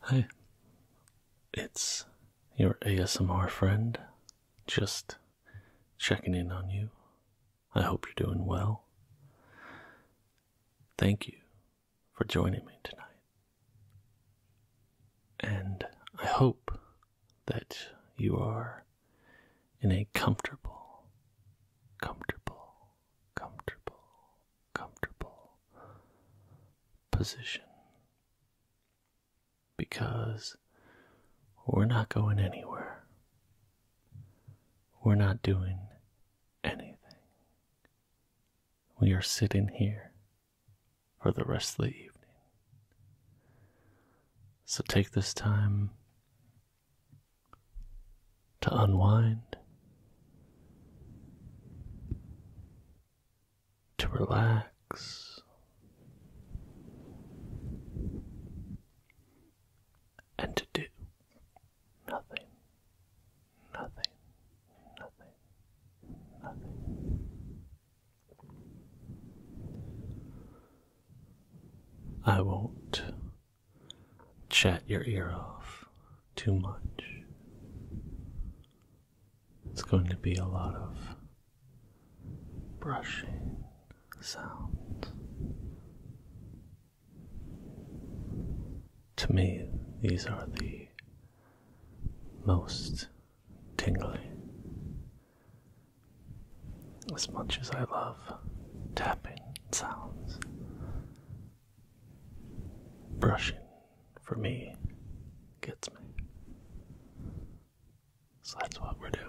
Hi, it's your ASMR friend. Just checking in on you. I hope you're doing well. Thank you for joining me tonight. And I hope that you are in a comfortable, comfortable comfortable, comfortable position because we're not going anywhere. We're not doing anything. We are sitting here for the rest of the evening. So take this time to unwind to relax and to do nothing, nothing, nothing, nothing. I won't chat your ear off too much. It's going to be a lot of brushing sounds. To me, these are the most tingly. As much as I love tapping sounds, Brushing for me gets me. So that's what we're doing.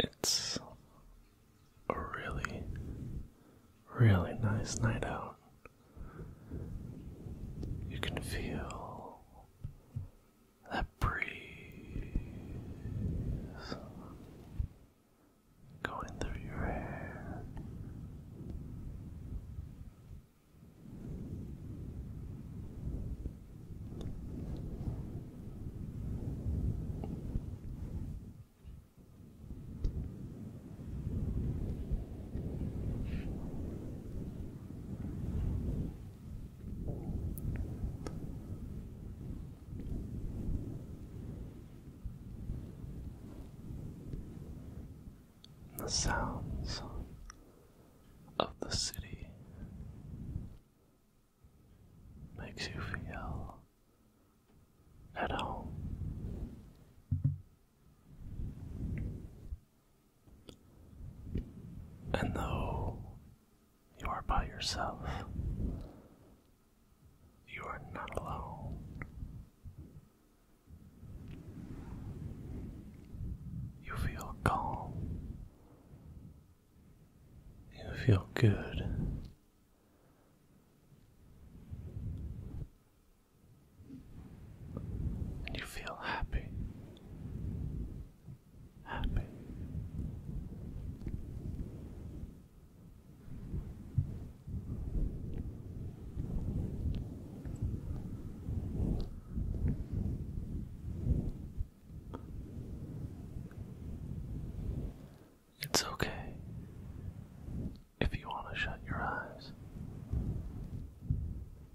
It's a really, really nice night out. You can feel that breeze going through your hair the sounds of the city makes you feel at home. And though you are by yourself, you are not alone. You feel calm. You feel good. And you feel happy. It's okay if you want to shut your eyes.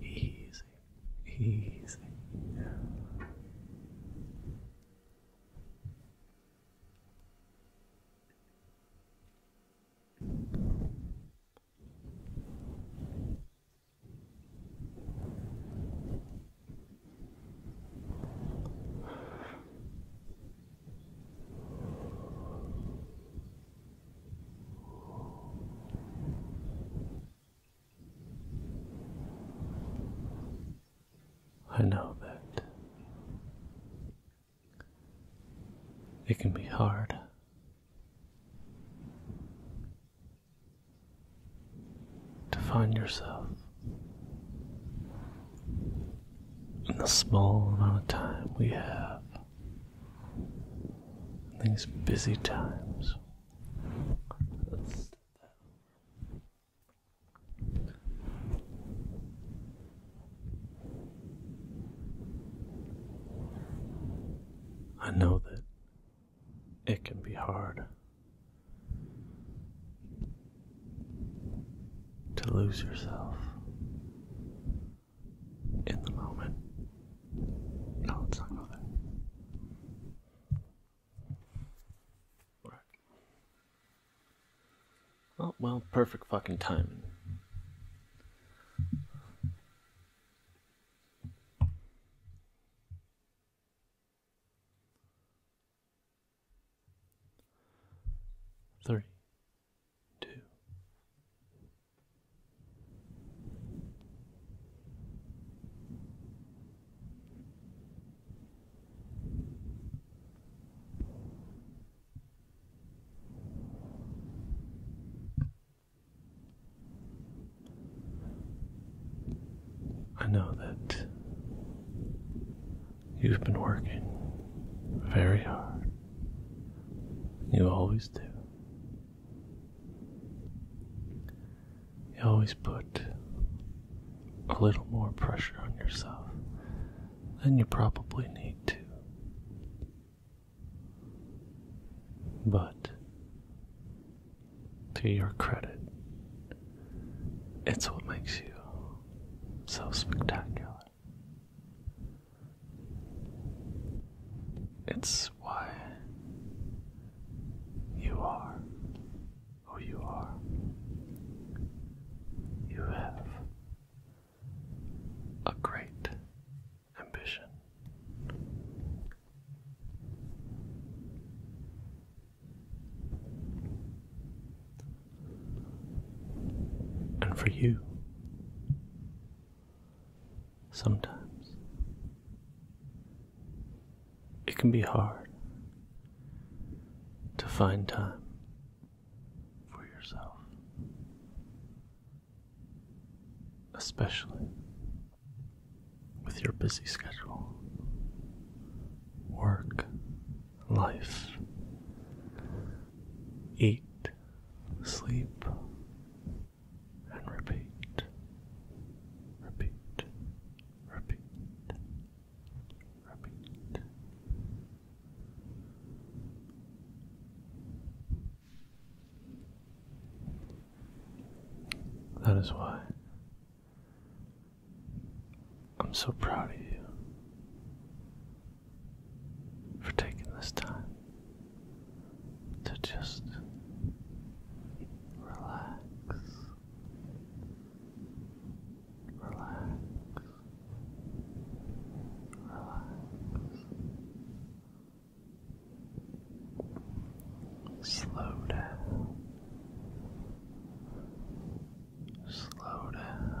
Easy, easy. Good. I know that it can be hard. To find yourself in the small amount of time we have, in these busy times, I know that it can be hard to lose yourself in the moment. No, let's not go there. Right. Oh, well, perfect fucking timing. Three, two. I know that you've been working very hard. You always do. You always put a little more pressure on yourself than you probably need to. But to your credit, it's what makes you so spectacular. It's why you are who you are. You have a great ambition. And for you, sometimes it can be hard to find time for yourself especially with your busy schedule, work, life, eat, sleep, and repeat, repeat, repeat, repeat, that is why I'm so proud of you for taking this time to just relax. Relax. Relax. Slow down. Slow down. Relax.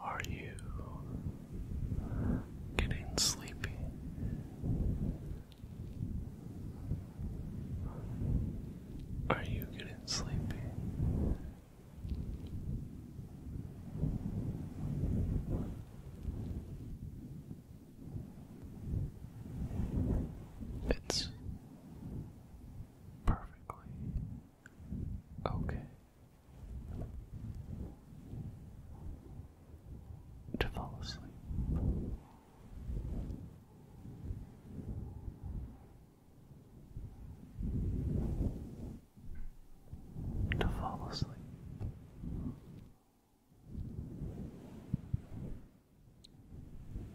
Are you getting sleepy? Are you getting sleepy? It's perfectly okay to fall asleep to fall asleep.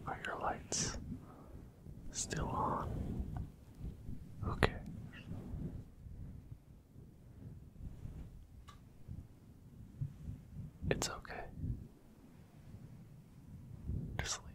Are your lights still on? Okay. It's okay. Just sleep.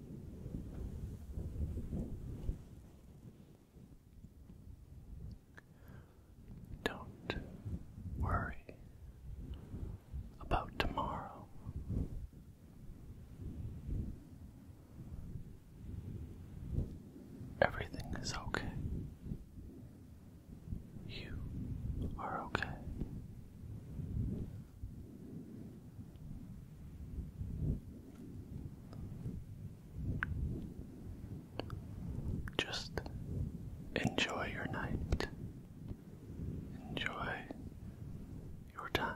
Don't worry about tomorrow. Everything is okay. You are okay. Just enjoy your night. Enjoy your time.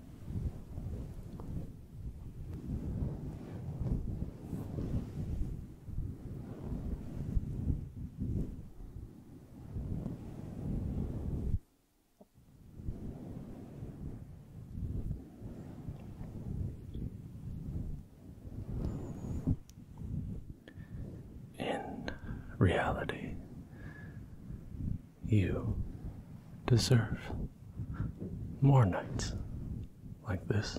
In reality, you deserve more nights like this.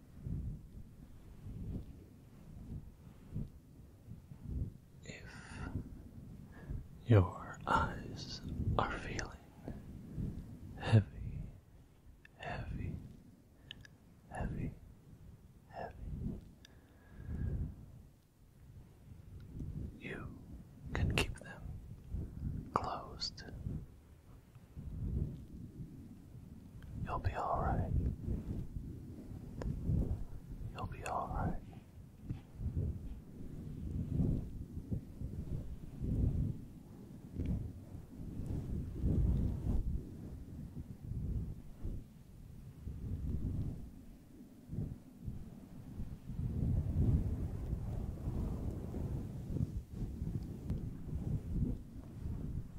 If your eyes are feeling heavy, heavy, heavy, heavy, you can keep them closed You'll be alright. You'll be alright.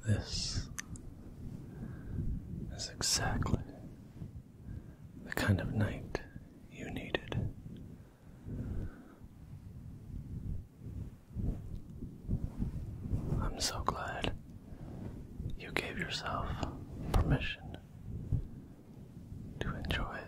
This is exactly the kind of night you needed. I'm so glad you gave yourself permission to enjoy it.